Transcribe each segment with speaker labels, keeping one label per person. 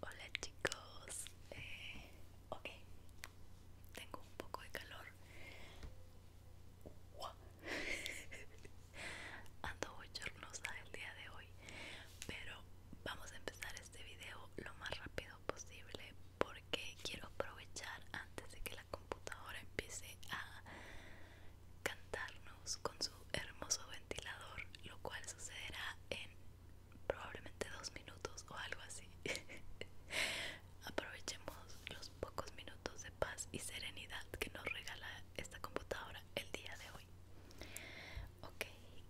Speaker 1: Hola chicos, eh, ok, tengo un poco de calor, ando chornosa el día de hoy, pero vamos a empezar este video lo más rápido posible porque quiero aprovechar antes de que la computadora empiece a cantarnos con su hermoso ventilador, lo cual sucederá en probablemente dos minutos o algo así. Aprovechemos los pocos minutos de paz y serenidad que nos regala esta computadora el día de hoy. Ok,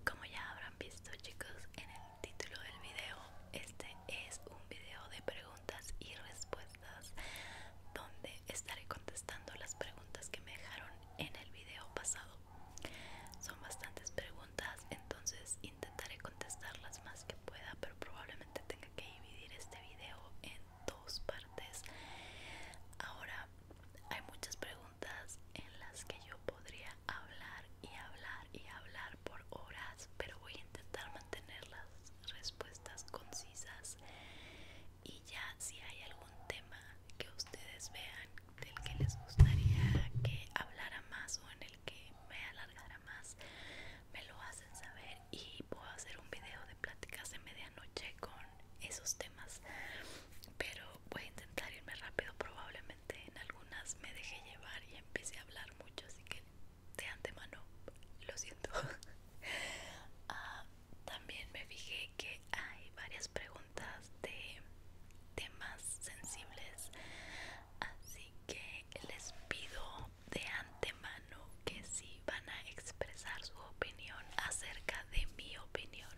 Speaker 1: como ya habrán visto chicos en el título del video, este es un video de preguntas y respuestas donde estaré contestando las preguntas que me dejaron en el video pasado son bastantes preguntas, entonces intentaré contestarlas más que pueda, pero probablemente tenga que dividir este video en dos partes. Ahora hay muchas preguntas en las que yo podría hablar y hablar y hablar por horas, pero voy a intentar mantener las respuestas concisas. Y ya si hay algún tema que ustedes vean del que les gustaría que hablara más o en el que me alargara más me lo hacen saber y puedo hacer un video de pláticas de medianoche con esos temas pero voy a intentar irme rápido probablemente en algunas me dejé llevar y empecé a hablar mucho así que de antemano lo siento ah, también me fijé que hay varias preguntas de temas sensibles así que les pido de antemano que si van a expresar su opinión acerca de mi opinión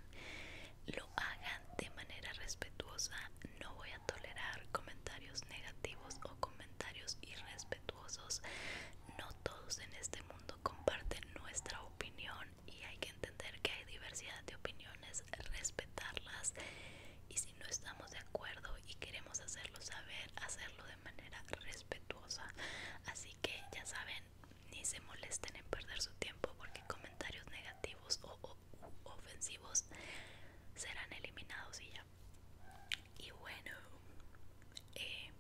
Speaker 1: lo hagan de manera respetuosa no voy a tolerar comentarios negativos o comentarios irrespetuosos no todos en este mundo comparten nuestra opinión y hay que entender que hay diversidad de opiniones, respetarlas y si no estamos de acuerdo y queremos hacerlo saber, hacerlo de manera respetuosa. Así que ya saben, ni se molesten en perder su tiempo porque comentarios negativos o, ofensivos serán eliminados y ya. Y bueno, eh,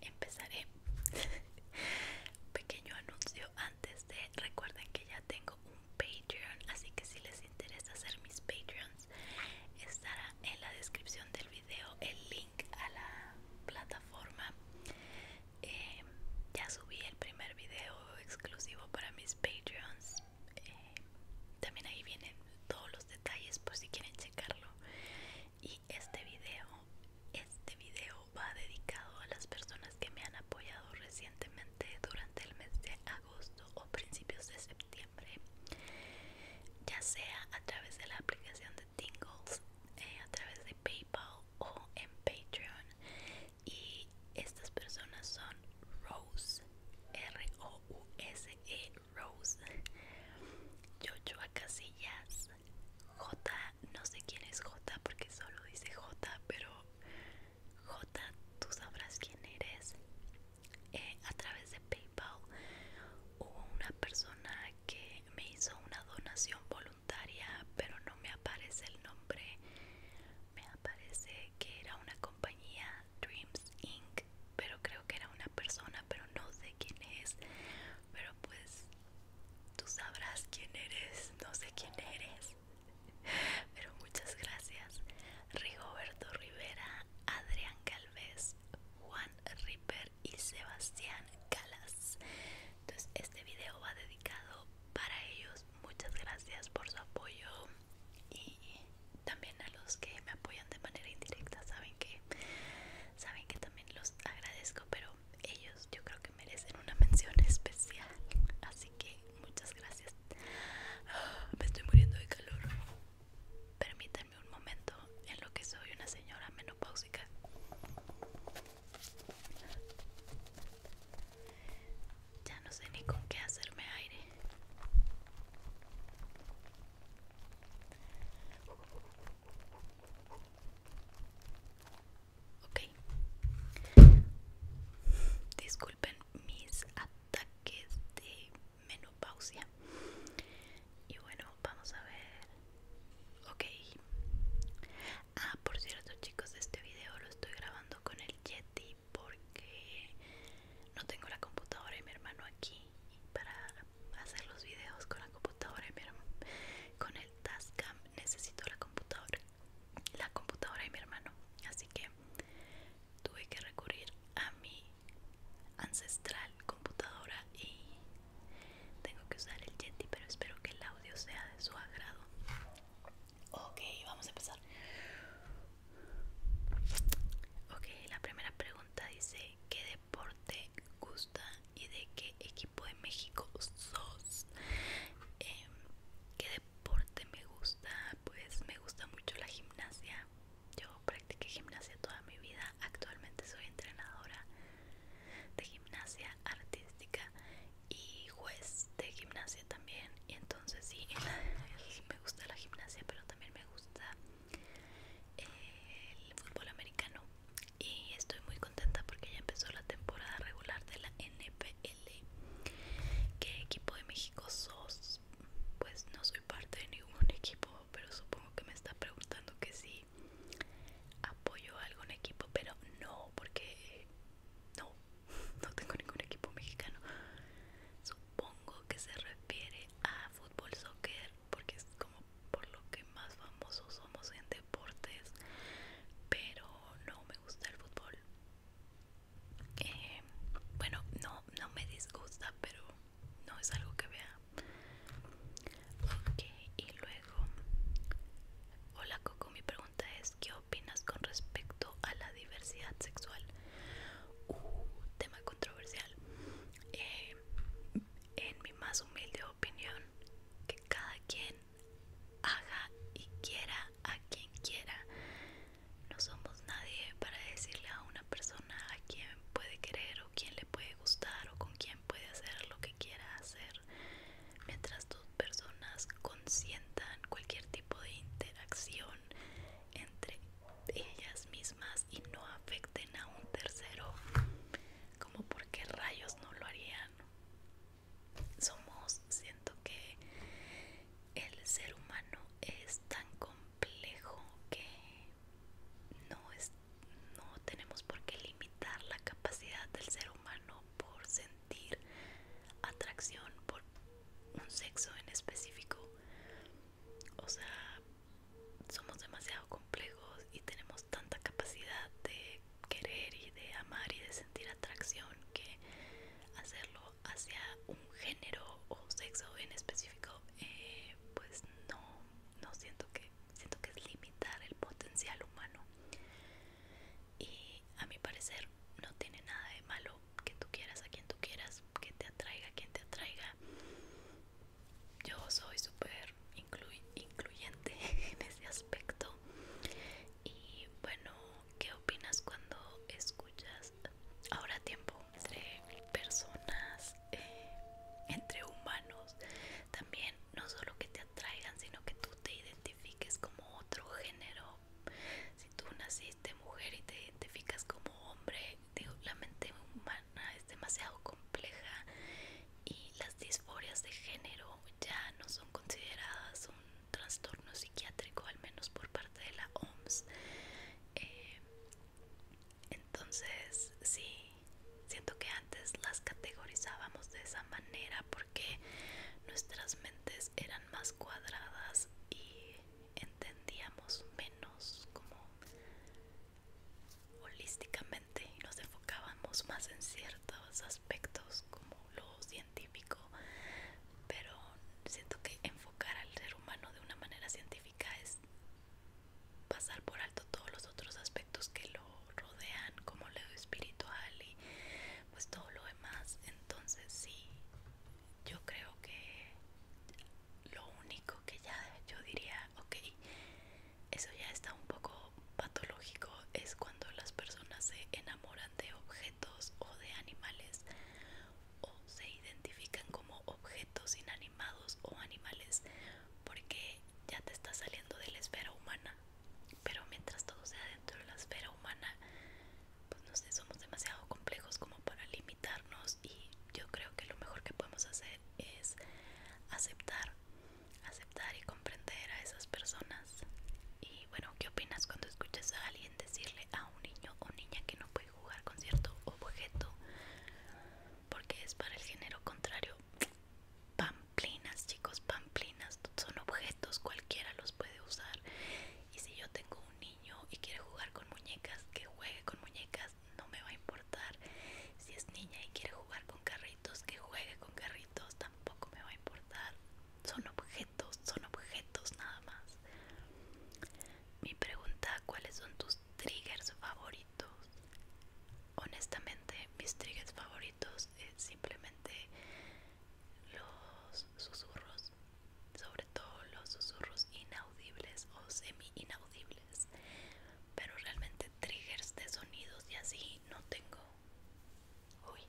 Speaker 1: empezaré pequeño anuncio antes de recuerden que ya tengo un patreon así que si les interesa hacer mis patreons estará en la descripción del video el link a la plataforma em, ya subí el primer video exclusivo para mis patreons em, también ahí vienen todos los detalles por si quieren checarlo este video este video va dedicado a las personas que me han apoyado recientemente durante el mes de agosto o principios de septiembre ya sea a través de la aplicación de Tingles eh, a través de Paypal o en Patreon y estas personas son Rose R O U S E Rose Yochoa Casillas J, no sé quién es J porque solo dice J, pero J, tú sabrás quién eres. Eh, a través de PayPal hubo una persona que me hizo una donación voluntaria, pero no me aparece el nombre. Me aparece que era una compañía Dreams Inc. Pero creo que era una persona, pero no sé quién es. Pero pues Tú sabrás quién eres, no sé quién eres. Pero muchas gracias. Rigoberto Rivera, Adrián Calvez, Juan Ripper y Sebastián Calas. Entonces este video va dedicado para ellos. Muchas gracias por su apoyo y también a los que me apoyan de manera indirecta. Saben que saben que también los agradezco, pero ellos yo creo que merecen una mención especial. Así que muchas gracias. Ah, me estoy muriendo de calor. Permítanme un momento en lo que soy una señora menopáusica. Ya no sé ni con qué hacerme aire. Ok. Disculpen mis ataques de menopausia. Y bueno, vamos a ver. Ok. Ah, por cierto, chicos, este video lo estoy grabando con el Yeti porque no tengo la computadora y mi hermano aquí para hacer los videos con la computadora y mi hermano. Con necesito la computadora la computadora de mi hermano así que tuve que recurrir a mi ancestral computadora y tengo que usar el Yeti pero espero que el audio sea de su agrado ok vamos a empezar ok la primera pregunta dice ¿qué deporte gusta y de qué equipo de México sos. Em, ¿Qué deporte me gusta? Pues me gusta mucho la gimnasia. Yo practiqué gimnasia toda mi vida. Actualmente soy entrenadora de gimnasia artística y juez de gimnasia también. Y entonces sí, me gusta la gimnasia, pero también me gusta eh, el fútbol americano y estoy muy contenta porque ya empezó la temporada regular de la NPL. ¿Qué equipo de México sos? Pues no soy parte de ningún equipo, pero supongo que me está preguntando que si apoyo a algún equipo, pero no, porque no, no tengo ningún equipo mexicano. Supongo que se refiere a fútbol, soccer, porque es como por lo que más famosos somos en deportes, pero no me gusta el fútbol. Eh, bueno, no, no me disgusta, pero no es algo que vea. Ok, y luego, hola Coco, mi pregunta es, ¿qué opinas con respecto a la diversidad sexual? Uh, tema controversial. Eh, en mi más humilde opinión, que cada quien haga y quiera a quien quiera. No somos nadie para decirle a una persona a quien puede querer o quién le puede gustar o con quién puede hacer lo que quiera hacer. Mientras dos personas consientan cualquier tipo de interacción entre ellas mismas y no afecten a un tercero, como por rayos no lo harían somos siento que el ser humano es tan complejo que no es no tenemos por qué limitar la capacidad del ser humano por sentir atracción por un sexo en específico o sea somos demasiado complejos y tenemos tanta capacidad de querer y de amar y de sentir atracción que hacerlo hacia un género o sexo en específico eh, pues no no siento que siento que es limitar el potencial humano y a mi parecer no tiene nada de malo que tú quieras a quien tú quieras que te atraiga quien te atraiga yo soy súper incluyente en ese aspecto y bueno qué opinas cuando escuchas ahora tiempo entre personas eh, entre humanos también no solo que te atraigan sino que tú te identifiques como otro género si tú naciste mujer y te identificas como hombre digo la mente humana es demasiado compleja y las disforias de género ya no son consideradas un trastorno psiquiátrico, al menos por parte de la OMS. Eh, entonces, sí, siento que antes las categorizábamos de esa manera porque nuestras mentes eran más cuadradas y entendíamos menos como holísticamente nos enfocábamos más en ciertos aspectos como lo científico, pero siento que enfocar al ser humano de una manera científica es pasar por alto todos los otros aspectos que lo rodean, como lo espiritual y pues todo lo demás. Entonces sí, yo creo que lo único que ya yo diría, ok, eso ya está un poco patológico es cuando las personas se enamoran de objetos o de animales o se identifican como objetos inanimados o animales porque ya te está saliendo de la esfera humana pero mientras todo sea dentro de la esfera humana pues no sé somos demasiado complejos como para limitarnos y yo creo que lo mejor que podemos hacer es aceptar aceptar y comprender a esas personas. Y bueno, ¿qué opinas cuando escuchas a alguien decirle a un niño o niña que no puede jugar con cierto objeto? Porque es para el género contrario. Pamplinas, chicos, pamplinas. Son objetos, cualquiera los puede usar. Y si yo tengo un niño y quiere jugar con muñecas, que juegue con muñecas, no me va a importar si es niña y quiere jugar con carritos que juegue con carritos tampoco me va a importar son objetos son objetos nada más mi pregunta cuáles son tus triggers favoritos honestamente mis triggers favoritos es simplemente los susurros sobre todo los susurros inaudibles o semi inaudibles pero realmente triggers de sonidos y así no tengo. Uy,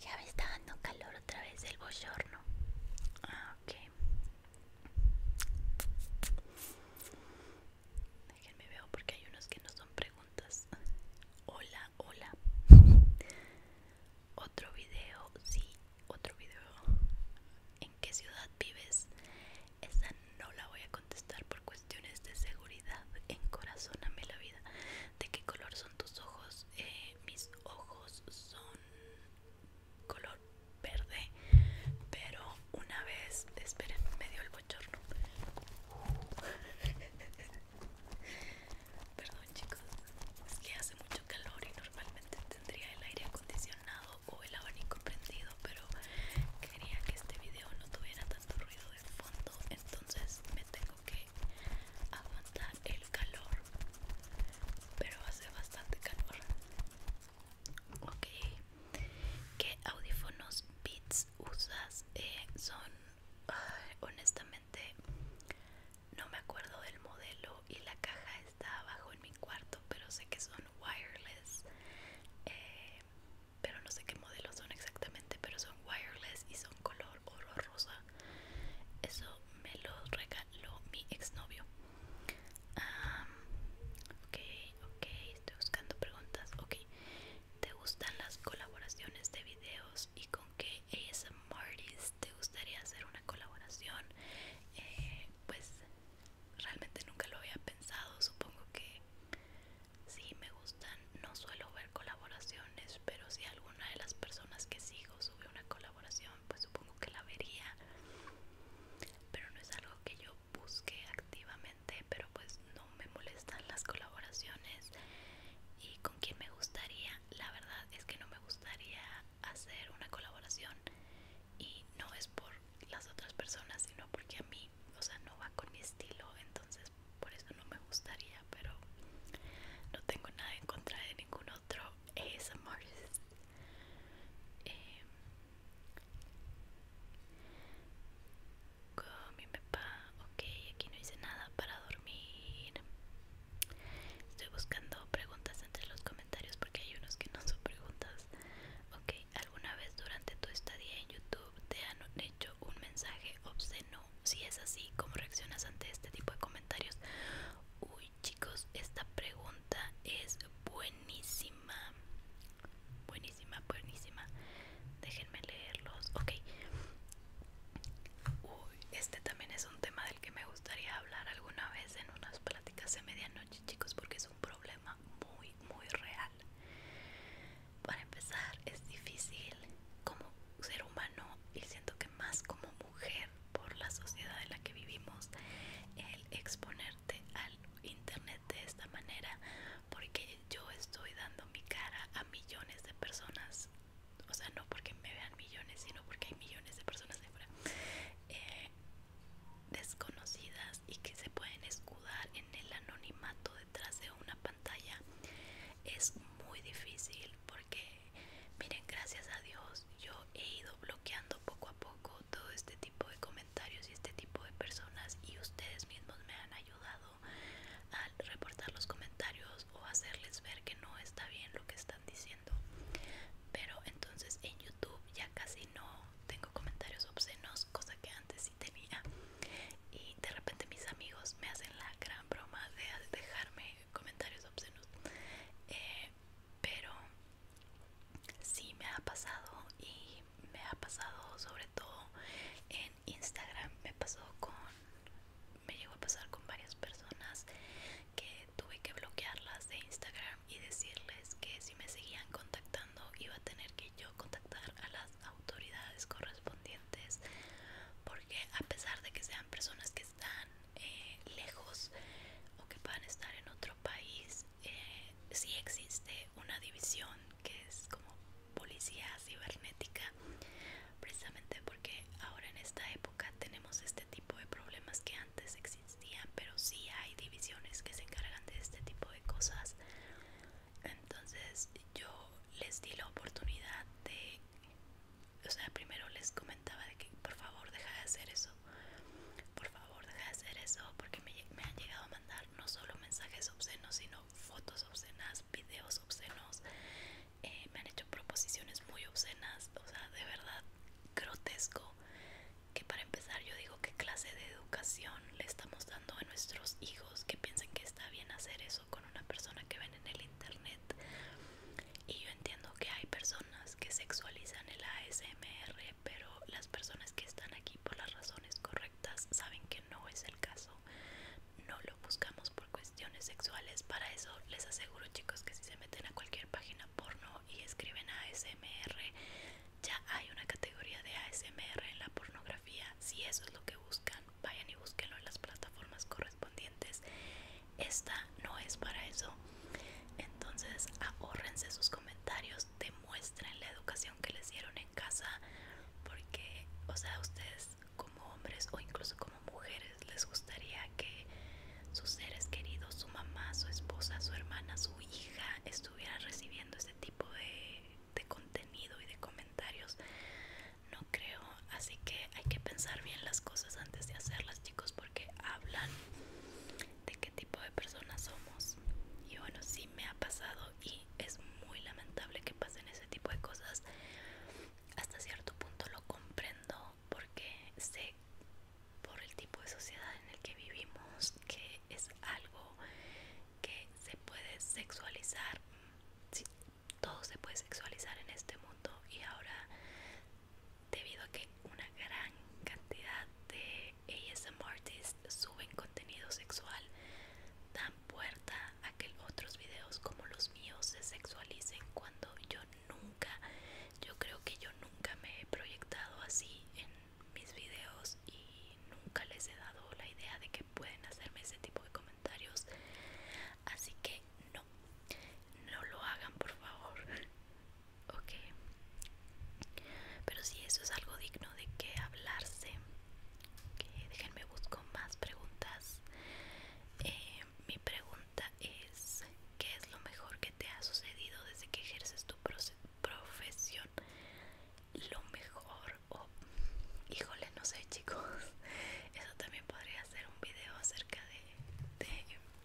Speaker 1: ya me está dando calor otra vez el bochorno. Ah, ok. Déjenme ver porque hay unos que no son preguntas. Hola, hola. Otro video, sí, otro video. ¿En qué ciudad vives? Esa no la voy a contestar por cuestiones de seguridad. Encorazóname la vida. ¿De qué color son tus ojos? Eh, mis ojos son color verde. Pero una vez, esperen, me dio el bochorno. Perdón chicos, es que hace mucho calor y normalmente tendría el aire acondicionado o el abanico prendido, pero quería que este video no tuviera ruido de fondo, entonces me tengo que aguantar el calor, pero hace bastante calor. Ok, ¿qué audífonos Beats usas? Eh, son, honestamente, no me acuerdo del modelo y la caja está abajo en mi cuarto, pero sé que son wireless. Eh, pero no sé qué modelos son exactamente pero son wireless y son color oro rosa eso me lo regaló mi exnovio novio ok ok estoy buscando preguntas ok te gustan las colaboraciones de videos y con qué Martis te gustaría hacer una colaboración eh, pues realmente nunca lo había pensado supongo que si me gustan. No suelo ver colaboraciones, pero si alguna de las personas que sigo sube una colaboración, pues supongo que la vería. Pero no es algo que yo busque activamente, pero pues no me molestan las colaboraciones. Y con quién me gustaría, la verdad es que no me gustaría hacer una colaboración. Y no es por las otras personas, sino porque a mí o sea, no va con mi estilo, entonces por eso no me gustaría, pero no tengo nada en contra de ningún otro ASMR. Eh, em, mi papá, ok, aquí no hice nada para dormir. Estoy buscando preguntas entre los comentarios porque hay unos que no son preguntas, Ok, ¿alguna vez durante tu estadía en YouTube te han hecho un mensaje obsceno? Si es así, ¿cómo reaccionas ante este tipo de comentarios? Uy, chicos, esta pregunta es buenísima. Buenísima, buenísima. Déjenme leerlos. Ok. Uy, este también es un tema del que me gustaría hablar alguna vez en unas pláticas de medianoche, chicos, porque un problema muy, muy real. Para empezar, es difícil como ser humano y siento que más como mujer por la sociedad en la que vivimos el exponerte al internet de esta manera porque yo estoy dando mi cara a millones de personas o sea no porque me vean millones sino porque hay millones de personas fuera eh, desconocidas y que se pueden escudar en el anonimato detrás de una pantalla es muy difícil porque miren gracias a Dios yo he ido bloqueando poco a poco todo este tipo de comentarios y este tipo de personas y ustedes mismos me han ayudado al reportar los comentarios o hacerles ver que no está bien lo que están diciendo pero entonces en YouTube ya casi no tengo comentarios obscenos cosa que antes sí tenía. Y de repente mis amigos me hacen la gran broma de dejarme comentarios obscenos. Eh, pero sí me ha pasado y me ha pasado sobre todo en Instagram. Me pasó con... Me llegó a pasar con varias personas que tuve que bloquearlas de Instagram y decirles que si me seguían contactando iba a tener que yo contactar a las autoridades correspondientes porque a pesar de que sean personas que están eh, lejos o que puedan estar en otro país si eh, sí existe una división que es como policía cibernética precisamente porque ahora en esta época tenemos este tipo de problemas que antes existían pero sí hay divisiones que se encargan de este tipo de cosas entonces yo les di la oportunidad de, o sea, primero les comentaba de que por favor deja de hacer eso, por favor deja de hacer eso, porque me, han llegado a mandar no solo mensajes obscenos, sino fotos obscenas, videos obscenos, eh, me han hecho proposiciones muy obscenas, o sea, de verdad grotesco que para empezar yo digo qué clase de educación le estamos dando a nuestros hijos que piensen que está bien hacer eso con una persona que ven en el internet y yo entiendo que hay personas que sexualizan el ASMR pero las personas que están aquí por las razones correctas saben que no es el caso no lo buscamos por cuestiones sexuales para eso les aseguro chicos que si se meten a cualquier página porno y escriben ASMR ya hay una categoría de ASMR en la pornografía. Si eso es lo que buscan, vayan y búsquenlo en las plataformas correspondientes. Esta no es para eso. Entonces, ahorrense sus comentarios, demuestren la educación que les dieron en casa, porque, o sea, ustedes como hombres o incluso como mujeres les gustaría que sus seres queridos, su mamá, su esposa, su hermana, su hija estuvieran recibiendo este tipo de de contenido y de comentarios no creo así que hay que pensar bien las cosas antes de hacerlas chicos porque hablan de qué tipo de personas somos y bueno sí me ha pasado y es muy lamentable que pasen ese tipo de cosas hasta cierto punto lo comprendo porque sé por el tipo de sociedad en el que vivimos que es algo que se puede sexualizar, todo se puede sexualizar en este mundo y ahora debido a que una gran cantidad de ASM artists suben contenido sexual, dan puerta a que otros videos como los míos se sexualicen cuando yo nunca, yo creo que yo nunca me he proyectado así en mis videos y nunca les he dado la idea de que pueden hacerme ese tipo de comentarios así que no no lo hagan por favor ok pero si eso es algo digno de que hablarse que déjenme busco más preguntas eh, mi pregunta es ¿qué es lo mejor que te ha sucedido desde que ejerces tu profesión? lo mejor híjole no sé chicos eso también podría hacer un video acerca de,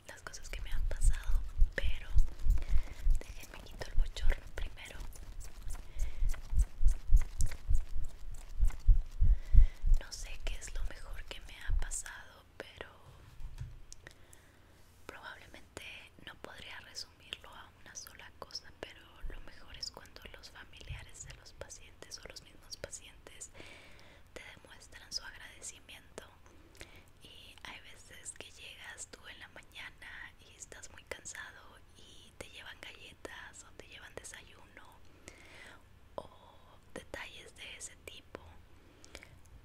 Speaker 1: las cosas que me han pasado pero déjenme quitar el bochorno primero no sé qué es lo mejor que me ha pasado pero probablemente no podría resumirlo a una sola cosa, pero lo mejor es cuando los familiares de los pacientes o los mismos pacientes te demuestran su agradecimiento. Y hay veces que llegas tú en la mañana y estás muy cansado y te llevan galletas o te llevan desayuno o detalles de ese tipo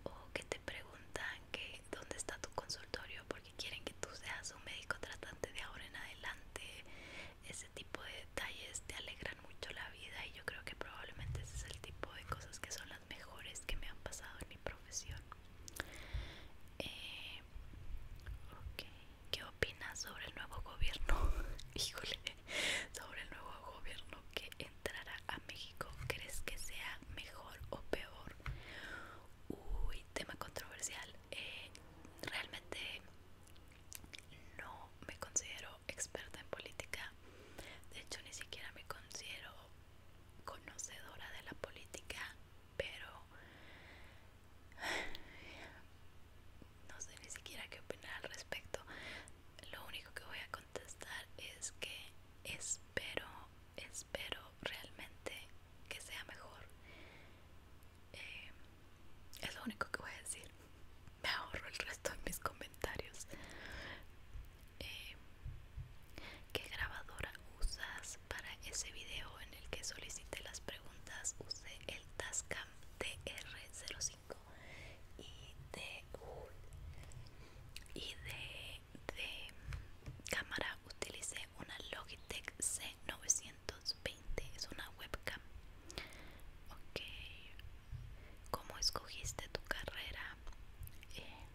Speaker 1: o que te preguntan que dónde está tu consultorio porque quieren que tú seas un médico tratante de ahora en adelante. Ese tipo de detalles te alegran mucho la vida y yo creo que probablemente ese es el tipo de cosas que son las mejores que me han pasado en mi profesión. Eh, ¿Qué opinas sobre el nuevo gobierno? Híjole, sobre el nuevo gobierno que entrará a México, ¿crees que sea mejor o peor? Uy, tema controversial. Eh, realmente no me considero experta en política. De hecho, ni siquiera me considero conocedora de la política, pero no sé ni siquiera qué opinar al respecto. Lo único que voy a contestar es que espero espero realmente que sea mejor. Eh, es lo único que voy a decir. Me ahorro el resto de mis comentarios. Eh, ¿Qué grabadora usas para ese video en el que solicité las preguntas? Usé el Tascam DR05 y de, y de de cámara utilicé una Logitech C920 es una webcam ok ¿Cómo escogiste tu carrera? Eh,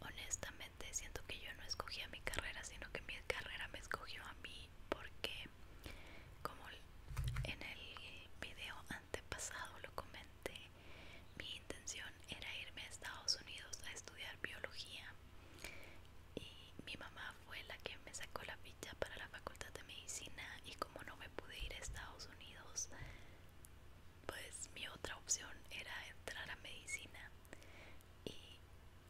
Speaker 1: honestamente siento que yo no escogí mi carrera sino que mi carrera me escogió a mí porque como en el video antepasado lo comenté mi intención era irme a Estados Unidos a estudiar biología y mi mamá fue la que me sacó la ficha para la facultad de medicina y como no me pude ir a Estados Unidos pues mi otra opción era entrar a medicina y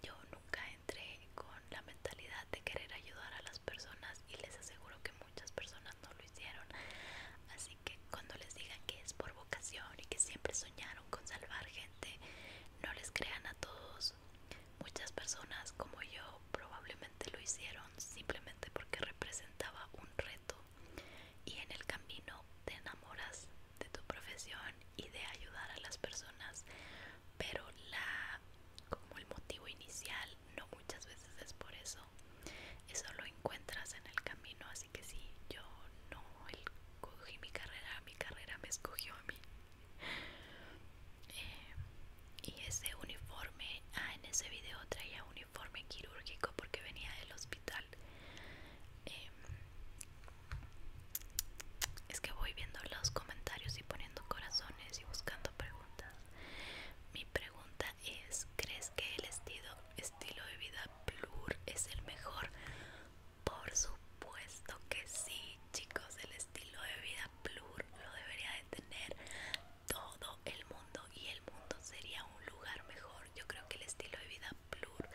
Speaker 1: yo nunca entré con la mentalidad de querer ayudar a las personas y les aseguro que muchas personas no lo hicieron así que cuando les digan que es por vocación y que siempre soñaron con salvar gente. No les crean a todos. Muchas personas como yo probablemente lo hicieron simplemente porque representaba un reto y en el camino te enamoras de tu profesión y de ayudar a las personas, pero la como el motivo inicial no muchas veces es por eso. Eso lo encuentras en el camino, así que sí, yo no Cogí mi carrera, mi carrera me escogió a mí. Eh, y ese uniforme, ah, en ese video traía uniforme quirúrgico porque venía del hospital. Em, es que voy viendo los comentarios y poniendo corazones y buscando preguntas. Mi pregunta es, ¿crees que el estilo, estilo de vida Plur es el mejor. Por supuesto que sí, chicos. El estilo de vida Plur lo debería de tener todo el mundo y el mundo sería un lugar mejor. Yo creo que el estilo de vida Plur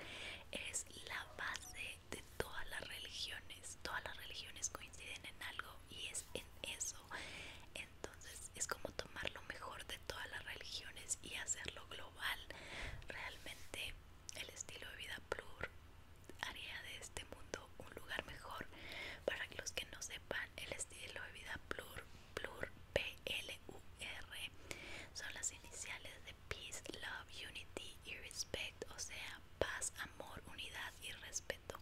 Speaker 1: es la base de todas las religiones. Todas las religiones coinciden en algo y es en eso. Entonces es como tomar lo mejor de todas las religiones y hacerlo global realmente el estilo de vida plur haría de este mundo un lugar mejor para los que no sepan el estilo de vida plur plur p l u r son las iniciales de peace love unity y respect o sea paz amor unidad y respeto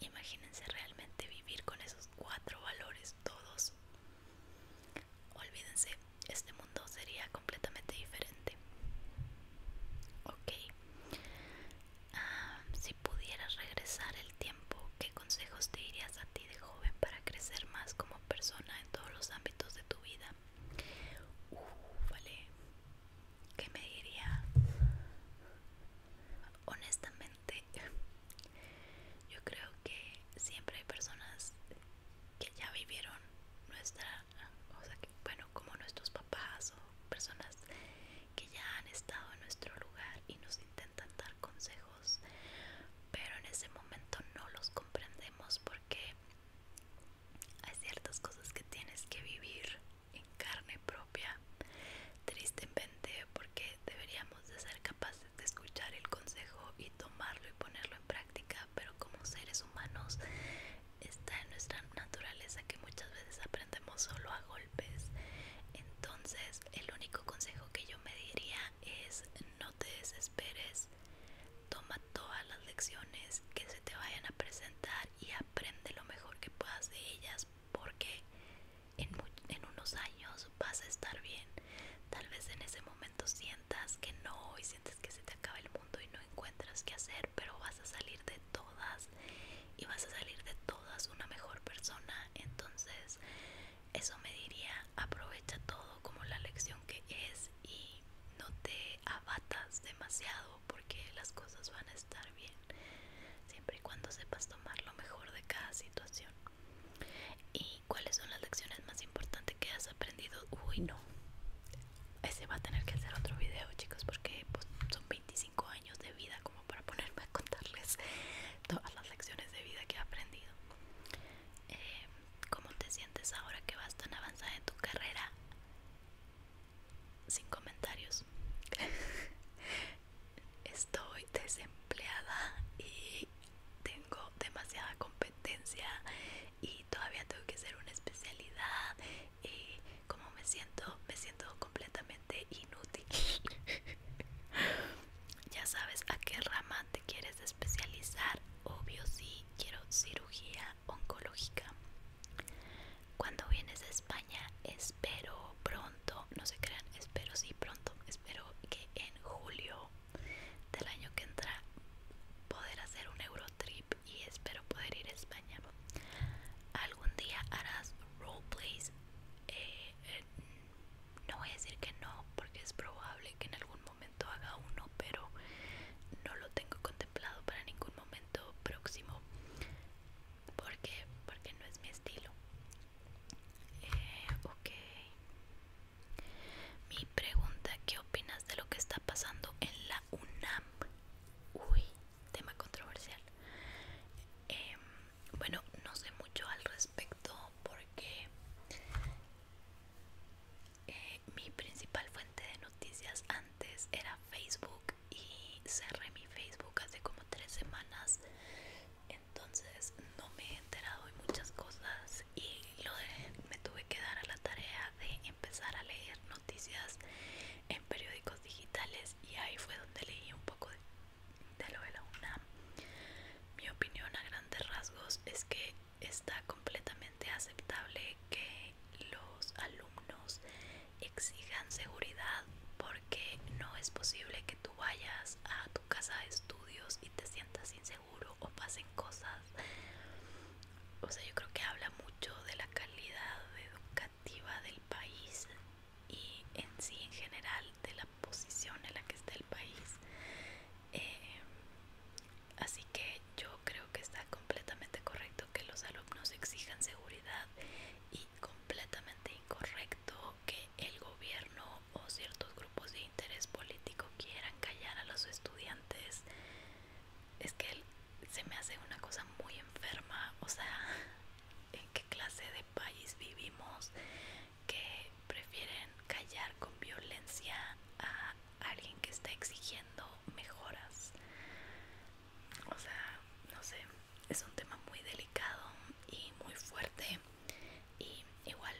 Speaker 1: imagínense realmente vivir con esos cuatro valores todos Olvídense, este mundo sería completamente diferente. Ok. Ah, si pudieras regresar el tiempo, ¿qué consejos te dirías a ti de joven para crecer más como persona en todos los ámbitos de tu vida? Uh, vale. ¿Qué me diría? Honestamente, yo creo que siempre hay personas que ya vivieron nuestra, o sea, bueno, como nuestros papás o personas que ya han estado en nuestro lugar y nos intentan dar consejos, pero en ese momento no los comprendemos porque hay ciertas cosas que tienes que vivir en carne propia, tristemente, porque deberíamos de ser capaces de escuchar el consejo y tomarlo y ponerlo en práctica, pero como seres humanos está en nuestra naturaleza que muchas veces aprendemos solo a golpes. Entonces, el único consejo que yo me diría es no te desesperes, toma todas las lecciones que se te vayan a presentar y aprende lo mejor que puedas de ellas porque en, unos años pues, vas a estar bien. Tal vez en ese momento sientas que no y sientes que se te acaba el mundo y no encuentras qué hacer, pero vas a salir de todas y vas a salir de todas una mejor persona. Entonces, eso me diría, aprovecha todo como la lección que es y no te abatas demasiado porque las cosas van a estar bien siempre y cuando sepas tomar lo mejor de cada situación y cuáles son las lecciones más importantes que has aprendido. Uy, no. Ese va a tener que hacer otro video, chicos, porque pues, son 25 años de vida como para ponerme a contarles todas las lecciones de vida que he aprendido. Eh, ¿Cómo te sientes ahora que vas tan avanzada en tu carrera? Sin comentarios. Estoy desempleada y tengo demasiada competencia y todavía tengo que ser una especialidad y eh, como me siento, me siento completamente inútil. ya sabes a qué rama te quieres especializar. Obvio sí, quiero cirugía oncológica. Cuando vienes a España, espero pronto, no se crean, espero sí pronto, espero que en julio del año que entra poder hacer un euro trip y espero poder ir a España. Algún día harás roleplays. Eh, eh, no voy a decir que no, porque es probable que en algún momento haga uno, pero no lo tengo contemplado para ningún momento próximo. porque Porque no es mi estilo. Eh, ok. Mi pregunta, ¿qué opinas de lo que está pasando en la UNAM? Uy, tema controversial. Em, bueno, no sé mucho al respecto porque eh, mi principal fuente de noticias antes era Facebook y cerré mi Facebook hace como tres semanas entonces no me he enterado de muchas cosas y me tuve que dar a la tarea de empezar a leer noticias en periódicos digitales y ahí fue donde leí un poco de, de lo de la UNAM. Mi opinión a grandes rasgos es que está completamente aceptable que los alumnos exijan seguridad porque no es posible que tú vayas a tu casa de estudios y te sientas sin seguro o pasen cosas. O sea, yo creo que habla mucho de la calidad educativa del país y en sí, en general, de la posición en la que está el país. Eh, así que yo creo que está completamente correcto que los alumnos exijan seguridad y completamente incorrecto que el gobierno o ciertos grupos de interés político quieran callar a los estudiantes es que se me hace una cosa muy enferma o sea en qué clase de país vivimos que prefieren callar con violencia a alguien que está exigiendo mejoras o sea no sé es un tema muy delicado y muy fuerte y igual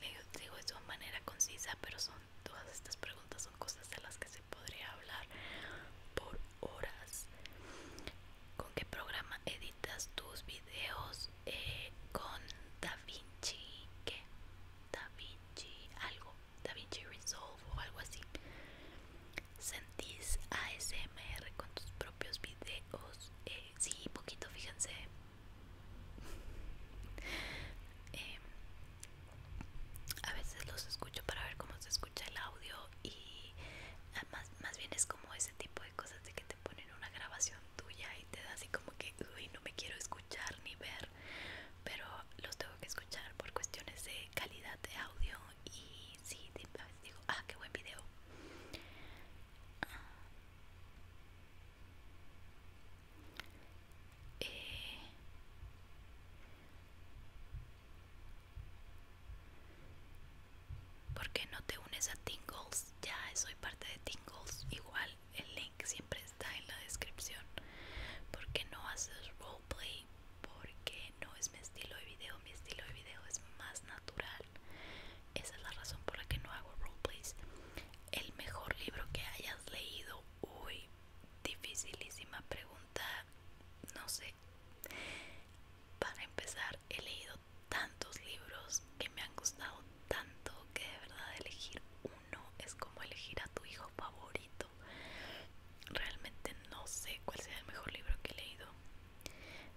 Speaker 1: le digo de manera concisa, pero son todas estas preguntas son cosas de las que se podría hablar por horas. ¿Con qué programa editas tus videos? Eh, con DaVinci, ¿qué? DaVinci, algo, DaVinci Resolve o algo así. ¿Sentís ASMR con tus propios videos? Eh, sí, poquito, fíjense. Eh, a veces los escucho para ver cómo se escucha el audio y ah, más, bien es como ese tipo de cosas de que te ponen una grabación tuya y te da así como que uy no me quiero escuchar ni ver pero los tengo que escuchar por cuestiones de calidad de audio y sí a veces digo ah qué buen video eh, ¿Por qué no te unes a Tingles? Ya soy parte de Tingles. Igual el link siempre está en la descripción. ¿Por qué no haces roleplay? Porque no es mi estilo de video. Mi estilo de video es más natural. Esa es la razón por la que no hago roleplays. El mejor libro que hayas leído, uy, dificilísima pregunta, no sé. Para empezar, he leído tantos libros que me han gustado tanto que de verdad elegir uno es como elegir a tu hijo favorito. Realmente no sé cuál sea el mejor libro que he leído.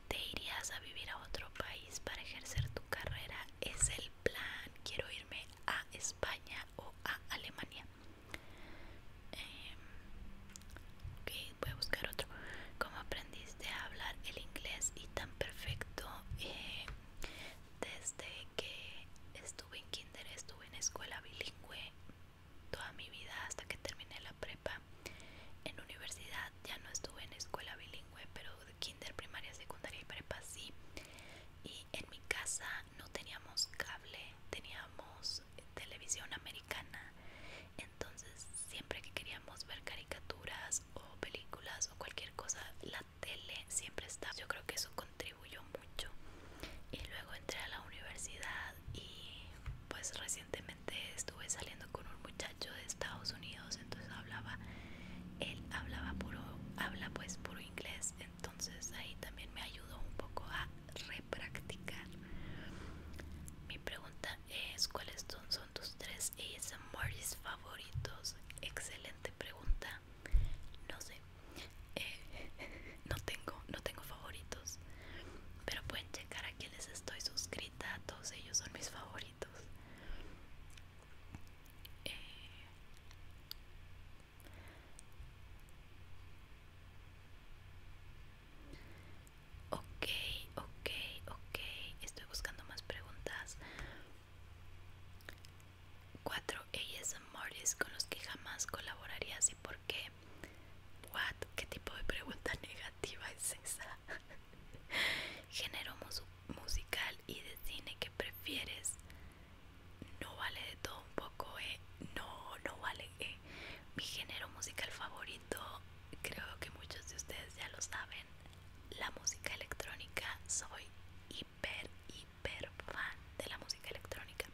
Speaker 1: ¿Te irías a vivir a otro país para ejercer tu carrera? es el plan, quiero irme a España o a Alemania. Em, ok, voy a buscar otro. ¿Cómo aprendiste a hablar el inglés y tan perfecto? Em, desde que estuve en kinder, estuve en escuela bilingüe toda mi vida hasta que terminé la prepa. En universidad ya no estuve en escuela bilingüe, pero kinder, primaria, secundaria y prepa sí. Y en mi casa no teníamos cable, teníamos televisión americana. Entonces siempre que queríamos ver caricaturas o películas o cualquier cosa, la tele siempre estaba. Yo creo que eso contribuyó mucho. Y luego entré a la universidad y pues recientemente estuve saliendo con un muchacho yo de Estados Unidos, entonces hablaba, él hablaba puro, habla pues puro inglés, entonces ahí también me ayudó un poco a repracticar. Mi pregunta es, ¿cuáles son tus tres ASMRs favoritos? Excelente pregunta. No sé. Eh, no tengo, no tengo favoritos. Pero pueden checar a quienes estoy suscrita. Todos ellos son mis favoritos. Okay, ok ok ok estoy buscando más preguntas 4 ellas Morris con los que jamás colaborarías y por qué what qué tipo de pregunta negativa es esa género musical y de cine que prefieres no vale de todo un poco eh no no vale eh. mi género musical favorito creo que muchos de ustedes ya lo saben la música electrónica soy hiper hiper fan de la música electrónica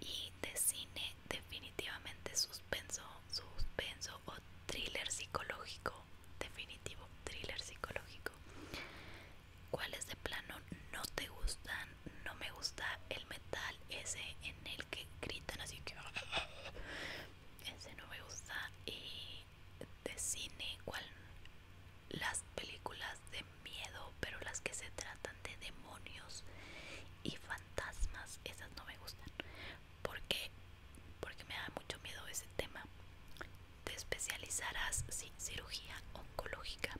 Speaker 1: y de cine definitivamente suspenso suspenso o thriller psicológico definitivo thriller psicológico. ¿Cuáles de plano no te gustan? No me gusta el metal ese en el que gritan así que... Ese no me gusta. Y de cine, igual Las películas de miedo, pero las que se tratan de demonios y fantasmas, esas no me gustan porque porque me da mucho miedo ese tema te especializarás en cirugía oncológica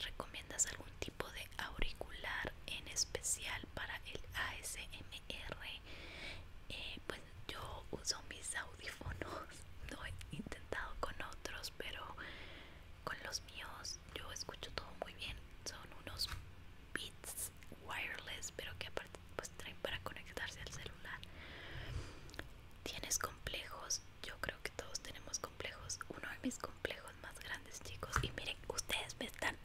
Speaker 1: recomiendas algún tipo de auricular en especial para el ASMR eh, pues yo uso mis audífonos no he intentado con otros pero con los míos yo escucho todo muy bien son unos beats wireless pero que aparte pues traen para conectarse al celular tienes complejos yo creo que todos tenemos complejos uno de mis complejos más grandes chicos y miren ustedes me están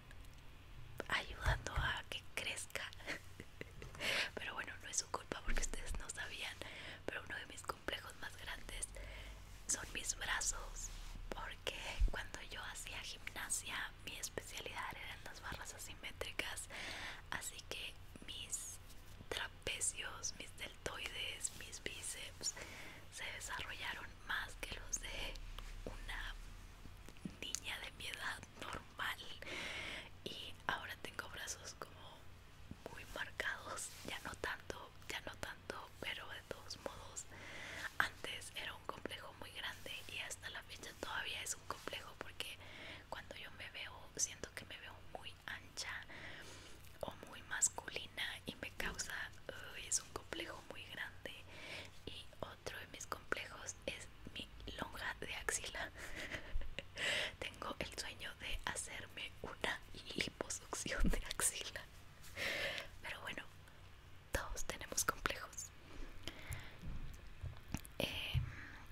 Speaker 1: ayudando a que crezca pero bueno no es su culpa porque ustedes no sabían pero uno de mis complejos más grandes son mis brazos porque cuando yo hacía gimnasia mi especialidad eran las barras asimétricas, así que mis trapecios, mis deltoides, mis bíceps se desarrollaron más que los de una niña de mi edad normal y ahora tengo brazos como muy marcados, ya no tanto, ya no tanto, pero de todos modos antes era un complejo muy grande y hasta la fecha todavía es un complejo porque cuando yo me veo siento que me veo muy ancha o muy masculina y me causa es un complejo muy grande y otro de mis complejos es mi lonja de axila tengo el sueño de hacerme una liposucción de axila pero bueno todos tenemos complejos eh,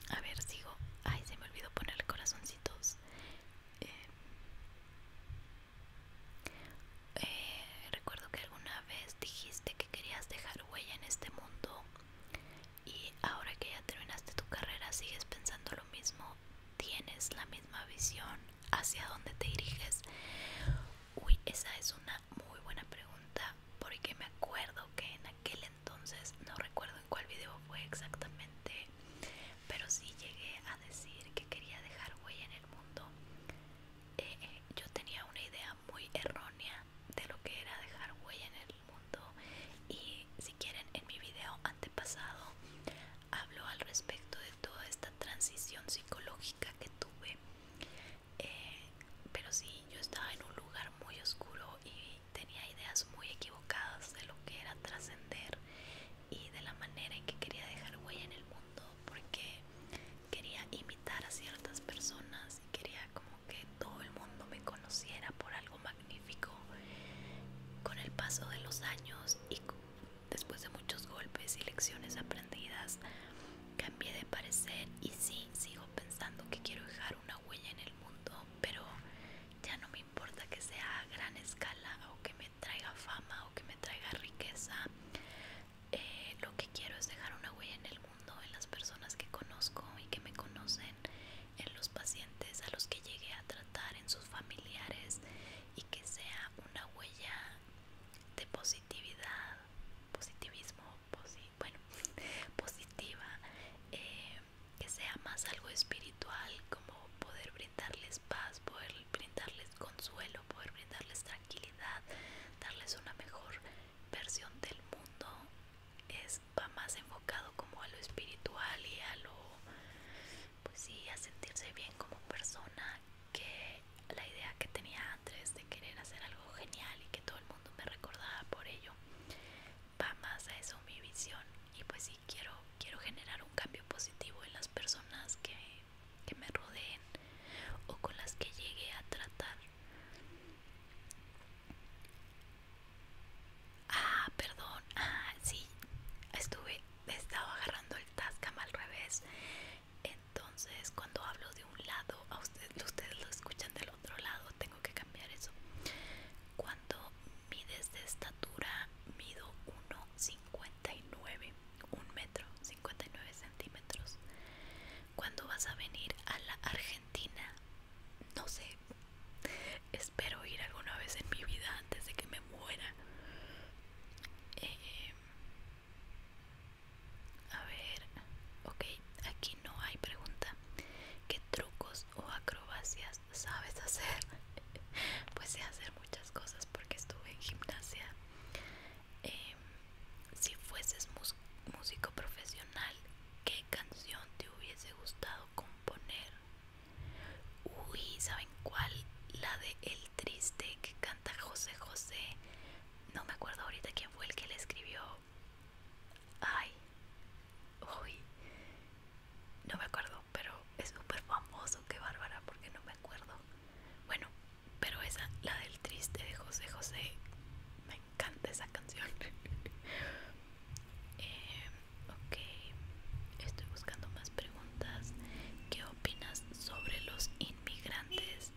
Speaker 1: a ver sigo ay se me olvidó poner corazoncitos eh, eh, recuerdo que alguna vez dijiste que querías dejar huella en este mundo y ahora que ya terminaste tu carrera sigues pensando lo mismo tienes la misma visión hacia dónde te diriges uy esa es una muy buena pregunta porque me acuerdo que en aquel entonces, no recuerdo en cuál video fue exactamente, pero sí llegué a decir que quería dejar huella en el mundo. Eh, eh, yo tenía una idea muy errónea de lo que era dejar huella en el mundo y si quieren en mi video antepasado hablo al respecto de toda esta transición psicológica que tuve eh, pero sí yo estaba en un lugar muy oscuro y tenía ideas muy equivocadas de lo que era trascender y de la manera en que quería dejar huella en el mundo porque quería imitar a ciertas personas y quería como que todo el mundo me conociera por algo magnífico con el paso de los años y después de muchos golpes y lecciones aprendidas cambie de parecer y sí, sigo pensando que quiero dejar una huella en el mundo, pero ya no me importa que sea a gran escala o que me traiga fama o que me traiga riqueza. Eh, lo que quiero es dejar una huella en el mundo, en las personas que conozco y que me conocen, en los pacientes a los que llegué a tratar, en sus familiares y que sea una huella de positividad, positivismo, positivo bueno, positiva, eh, que sea más algo espiritual, como poder brindarles paz, poder brindarles consuelo, poder brindarles tranquilidad, darles una mejor versión del mundo, es, va más enfocado como a lo espiritual y a lo, pues sí, a sentirse bien como persona que la idea que tenía antes de querer hacer algo genial y que todo el mundo me recordaba por ello va más a eso mi visión y pues si quiero quiero generar un cambio positivo en las personas que, que me rodeen o con las que llegue a tratar ah perdón ah sí estuve estaba agarrando el tascam al revés entonces cuando hablo de un lado a ustedes lo escuchan del otro lado tengo que cambiar eso cuando mides de estatura mido 1,59 un metro 59 centímetros cuando vas a venir a la Argentina no sé espero ir alguna vez en mi vida antes de que me muera eh, a ver, ok, aquí no hay pregunta. ¿Qué trucos o acrobacias sabes hacer? pues sé hacer muchas cosas porque estuve en gimnasia. Em, si fueses músico profesional, ¿qué canción te hubiese gustado componer? Uy, ¿saben cuál? La de El Triste que canta José José. No me acuerdo ahorita quién fue el que le escribió, Ay, uy, no me acuerdo, pero es súper famoso. Qué bárbara, porque no me acuerdo. Bueno, pero esa, la del triste de José José, me encanta esa canción. Eh, ok, estoy buscando más preguntas. ¿Qué opinas sobre los inmigrantes?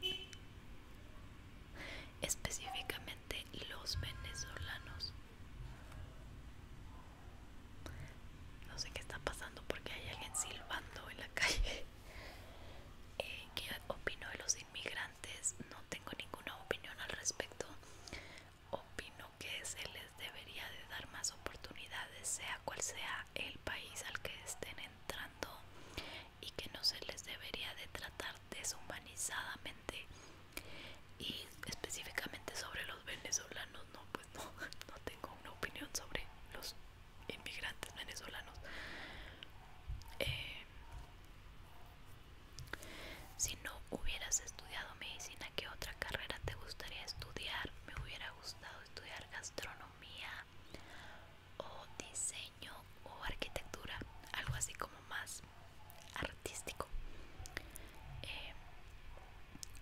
Speaker 1: específicamente los venezolanos. No sé qué está pasando porque hay alguien silbando en la calle. Eh, ¿Qué opino de los inmigrantes? No tengo ninguna opinión al respecto. Opino que se les debería de dar más oportunidades, sea cual sea el país al que estén entrando y que no se les debería de tratar deshumanizadamente y específicamente sobre los venezolanos no pues no, no tengo una opinión sobre los inmigrantes venezolanos eh, si no hubieras estudiado medicina qué otra carrera te gustaría estudiar me hubiera gustado estudiar gastronomía o diseño o arquitectura, algo así como más artístico. Eh,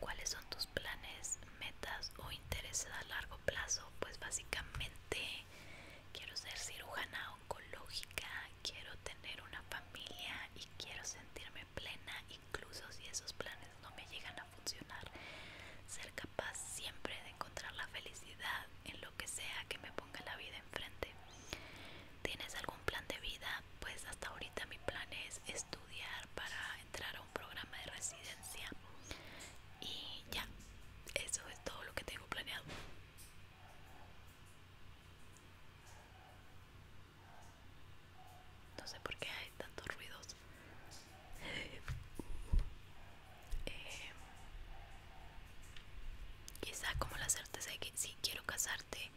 Speaker 1: ¿Cuáles son tus planes, metas o intereses a largo plazo? Pues básicamente quiero ser cirujana oncológica, quiero tener una familia y quiero sentirme plena, incluso si esos planes no me llegan a funcionar. Ser capaz siempre de encontrar la felicidad en lo que sea que me ponga la vida enfrente. ¿Tienes algún plan de vida? Pues hasta ahorita mi plan es estudiar para entrar a un programa de residencia. Y ya, eso es todo lo que tengo planeado. No sé por qué hay tantos ruidos. Eh, quizá como la certeza de que sí, quiero casarte,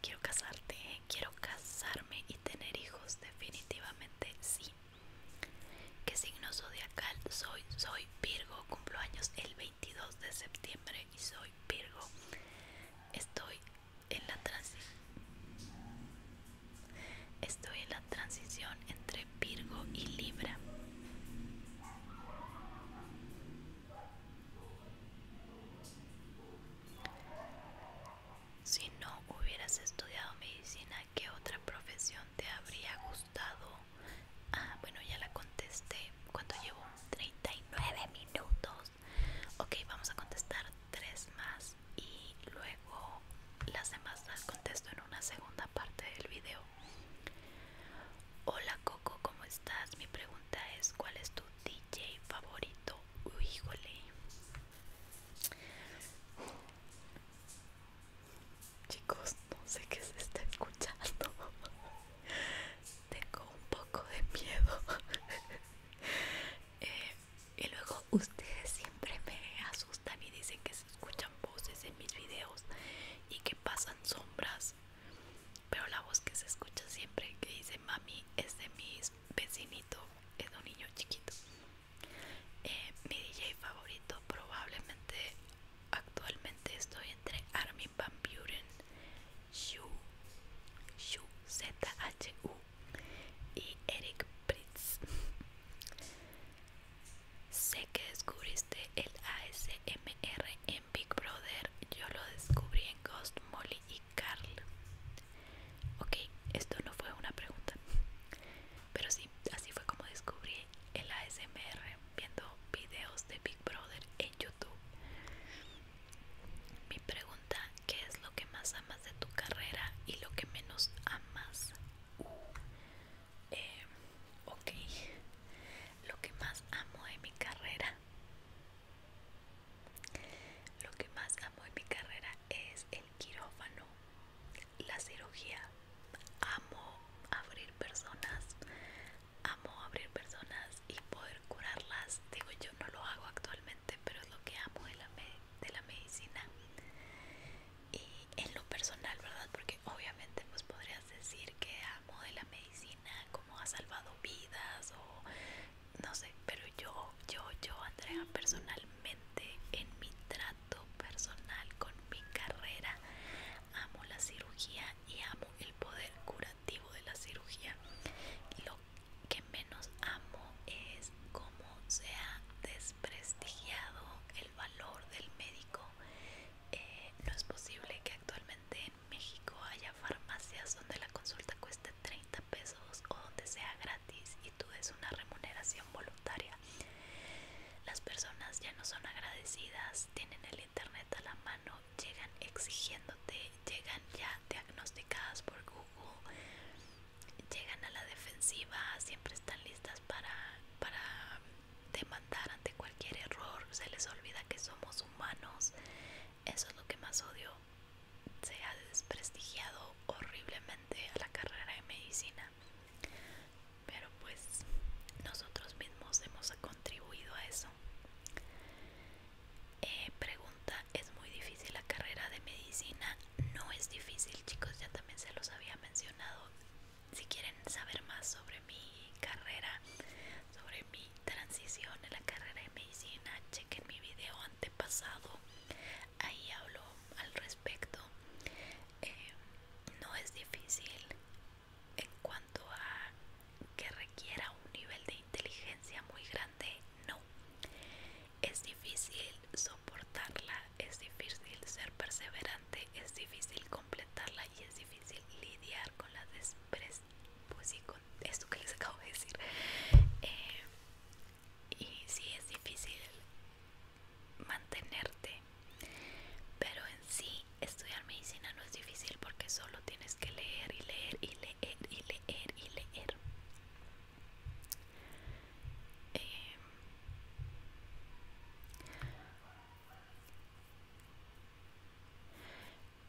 Speaker 1: quiero casarte, quiero casarme y tener hijos, definitivamente sí. ¿Qué signo zodiacal soy? Soy Virgo, cumplo años el 22 de septiembre y soy Virgo. Estoy en la transición. Estoy en la transición entre Virgo y Libra. Si no hubieras estudiado medicina, ¿qué otra profesión te habría gustado? Ah, bueno, ya la contesté. ¿Cuánto llevo? 39 minutos. Ok, vamos a contestar tres más y luego las demás las contesto en una segunda parte del video. Hola Coco, ¿cómo estás? Mi pregunta es, ¿cuál es tu DJ favorito? híjole. Chicos, no sé qué se está escuchando. Tengo un poco de miedo. Eh, y luego ustedes siempre me asustan y dicen que escuchan voces en mis videos y que pasan sombras pero la voz que se escucha siempre que dice mami es de mis vecinito es de un niño chiquito eh, mi DJ favorito probablemente actualmente estoy entre Armin Van Buren Shu Shu Z H y Eric Pritz Sé que descubriste el ASMR en Big Brother, yo lo descubrí en Ghost, Molly y Carl. Ok, esto no fue una pregunta, pero sí, así fue como descubrí el ASMR viendo videos de Big Brother en YouTube. Mi pregunta, ¿qué es lo que más amas de tu carrera y lo que menos amas? Uh, eh, ok lo que más amo de mi carrera lo que más amo de mi carrera es el quirófano la cirugía amo abrir personas amo abrir personas y poder curarlas digo yo no lo hago actualmente pero es lo que amo de la, de la medicina y en lo personal verdad porque obviamente pues podrías decir que amo de la medicina, como ha salvado vidas o no sé, pero yo, yo, yo, Andrea, personalmente en mi trato personal con mi carrera, amo la cirugía y amo el poder curativo de la cirugía. Lo que menos amo es cómo se ha desprestigiado el valor del médico eh, no es posible que actualmente en México haya farmacias donde la consulta cueste 30 pesos o donde sea gratis y tú des una remuneración voluntaria. Las personas ya no son agradecidas, tienen el internet a la mano, llegan exigiéndote, llegan ya diagnosticadas por Google, llegan a la defensiva, siempre están listas para, para demandar ante cualquier error, se les olvida que somos humanos. Eso es lo que más odio. Se ha desprestigiado horriblemente a la carrera de medicina. Pero pues nosotros mismos hemos contribuido a eso. Eh, pregunta, ¿es muy difícil la carrera de medicina? No es difícil chicos, ya también se los había mencionado si quieren saber más sobre mi carrera, sobre mi transición en la carrera de medicina, chequen mi video antepasado. Ahí hablo al respecto. Eh, no es difícil en cuanto a que requiera un nivel de inteligencia muy grande, no. Es difícil soportarla es difícil ser perseverante, es difícil completarla y es difícil lidiar con la desprecio, pues sí, con esto que les acabo de decir. Eh, y sí, es difícil mantenerte, pero en sí estudiar medicina no es difícil porque solo tienes que leer y leer y leer y leer y leer. Eh,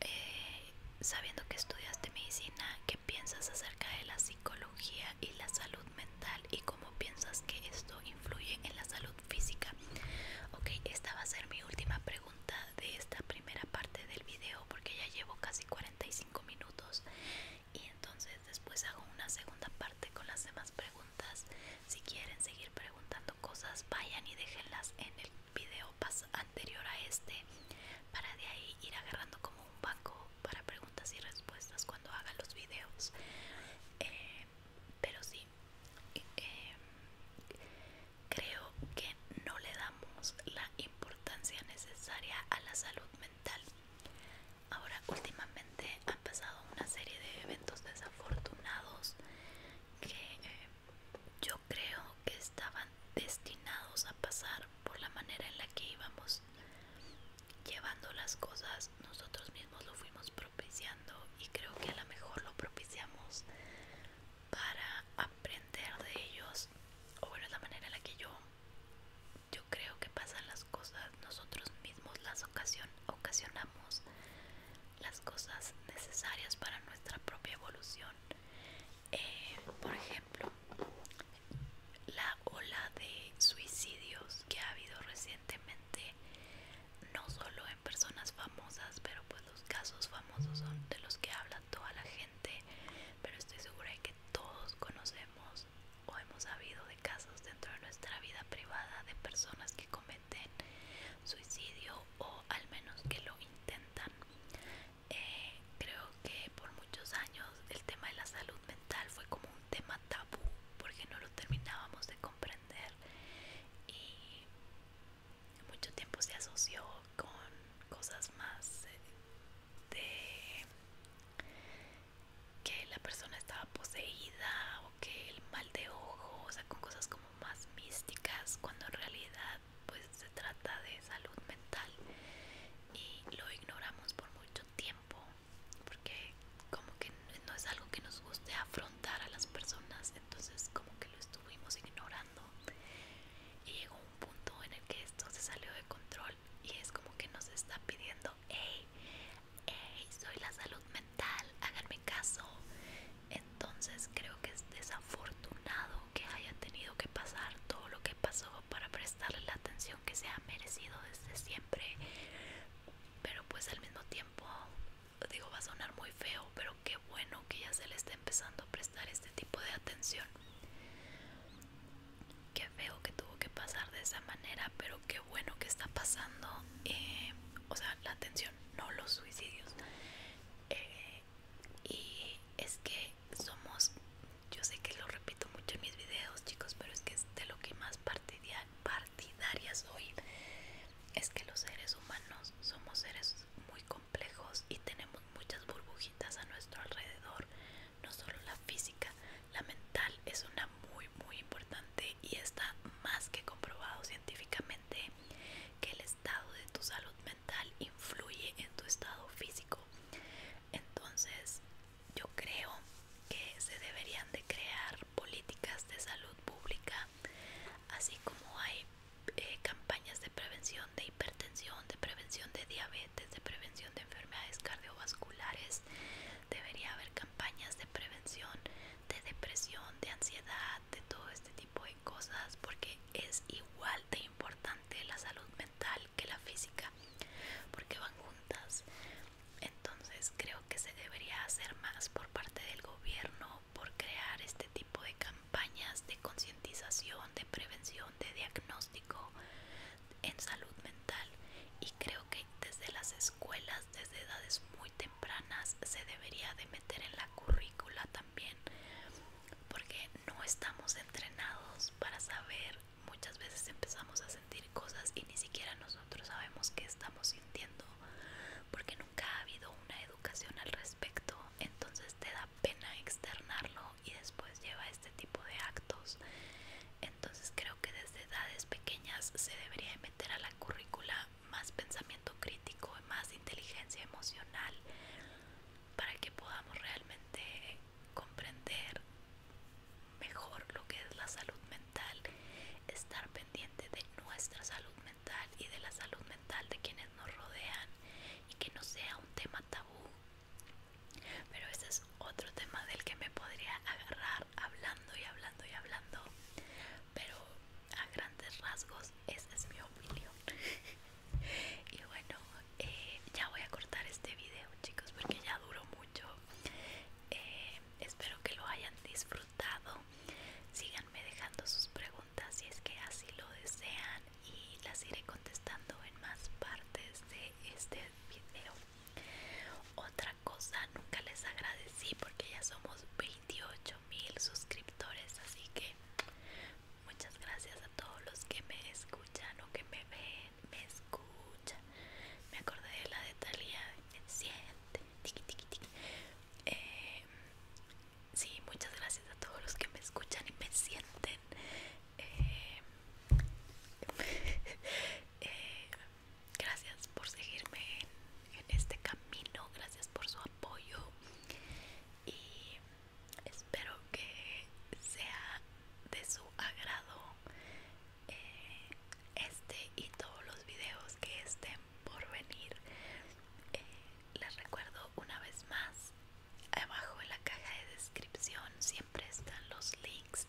Speaker 1: eh, sabiendo que estudiaste medicina, ¿qué piensas acerca de la psicología y la salud mental y cómo piensas que esto influye en la salud física? Ok, esta va a ser mi última pregunta de esta primera parte del video porque ya llevo casi 45 minutos y entonces después hago una segunda parte con las demás preguntas si quieren seguir preguntando cosas, vayan y déjenlas en el video anterior a este para de ahí ir agarrando como un banco para preguntas y respuestas cuando haga los videos. Eh, pero sí, eh, creo que no le damos la importancia necesaria a la salud mental. Ahora últimamente pasado una serie de eventos desafortunados que eh, yo creo que estaban destinados a pasar por la manera en la que íbamos llevando las cosas nosotros mismos lo fuimos propiciando y creo que a lo mejor lo propiciamos para aprender de ellos o bueno es la manera en la que yo yo creo que pasan las cosas nosotros mismos las ocasión ocasionamos las cosas necesarias para nuestra propia evolución eh, por ejemplo la ola de suicidios que ha habido recientemente no solo en personas famosas pero pues los casos famosos son de los que habla toda la gente pero estoy segura de que todos conocemos o hemos habido de casos dentro de nuestra vida privada de personas que cometen suicidio o al menos que lo intentan. Eh, creo que por muchos años el tema de la salud mental fue como un tema tabú porque no lo terminábamos de comprender y mucho tiempo se asoció con cosas más eh, de que la persona estaba poseída o que el mal de ojo, o sea, con cosas como más místicas, cuando en realidad pues se trata de salud mental y lo ignoramos por mucho tiempo porque como que no es algo que nos guste afrontar a las personas, entonces como que lo estuvimos ignorando y llegó un punto en el que esto se salió de control y es como que nos está pidiendo hey, ey, soy la salud mental, háganme caso. Entonces creo que es desafortunado que haya tenido que pasar todo lo que pasó para prestarle la atención que se ha merecido desde siempre. Pero pues al mismo tiempo, digo, va a sonar muy feo, pero qué bueno que ya se le esté empezando a prestar este tipo de atención. Qué feo que tuvo que pasar de esa manera, pero qué bueno que está pasando, eh, o sea, la atención, no los suicidios. Eh, y es que somos, yo sé que lo repito mucho en mis videos, chicos, pero es que es de lo que más partidarias partidaria soy. Es que los seres humanos somos seres muy complejos y tenemos muchas burbujitas a nuestro alrededor, no solo la física, la mental es una muy muy importante y está más que comprobado científicamente que el estado de tu salud mental influye en tu estado físico. Entonces yo creo que se deberían de crear políticas de salud pública, así como hay eh, campañas de prevención de hipertensión, de prevención de diabetes, de prevención de enfermedades cardiovasculares. Debería haber campañas de prevención de depresión, de ansiedad, de todo este tipo de cosas, porque es igual de importante la salud mental que la física, porque van juntas. Entonces creo que se debería hacer más por parte del gobierno por crear este tipo de campañas de concientización, de prevención, de diagnóstico en salud mental creo que desde las escuelas, desde edades muy tempranas, se debería de meter en la currícula también, porque no estamos entrenados para saber, muchas veces empezamos a sentir cosas y ni siquiera nosotros sabemos qué estamos sintiendo, porque nunca ha habido una educación al respecto, entonces te da pena externarlo y después lleva este tipo de actos. Entonces creo que desde edades pequeñas se debería a la currícula más pensamiento crítico, más inteligencia emocional, para que podamos realmente comprender mejor lo que es la salud mental, estar pendiente de nuestra salud mental y de la salud mental de quienes nos rodean y que no sea un tema tabú. Pero ese es otro tema del que me podría agarrar hablando y hablando y hablando, pero a grandes rasgos esa es mi opinión. y bueno, eh, ya voy a cortar este video, chicos, porque ya duró mucho. Eh, espero que lo hayan disfrutado. Síganme dejando sus preguntas si es que así lo desean y las iré contestando en más partes de este video. Otra cosa, nunca les agradecí porque ya somos 28 mil suscriptores, así que muchas gracias a todos los que me escuchan o que me ven, me escuchan. Me acordé de la de Me sienten tiki sí, muchas gracias a todos los que me escuchan y me sienten. Eh, eh, gracias por seguirme en, este camino, gracias por su apoyo y espero que sea de su agrado eh, este y todos los videos que estén por venir. Eh, les recuerdo una vez más, abajo en la caja de descripción siempre están los links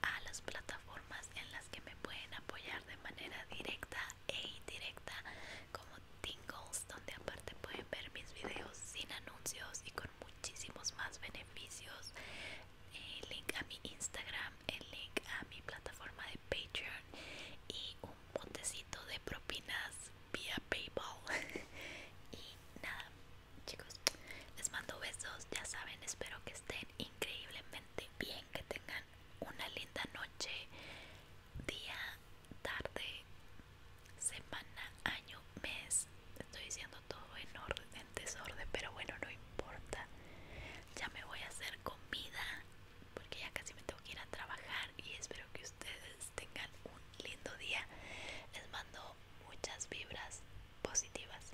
Speaker 1: a las plataformas en las que me pueden apoyar de manera directa e indirecta como Tingles donde aparte pueden ver mis videos sin anuncios y con muchísimos más beneficios el link a mi Instagram el link a mi plataforma de Patreon y un botecito de propinas vía Paypal y nada chicos les mando besos ya saben espero que estén increíblemente bien, que tengan una linda noche, día, tarde, semana, año, mes. Estoy diciendo todo en orden, en desorden, pero bueno, no importa. Ya me voy a hacer comida porque ya casi me tengo que ir a trabajar y espero que ustedes tengan un lindo día. Les mando muchas vibras positivas.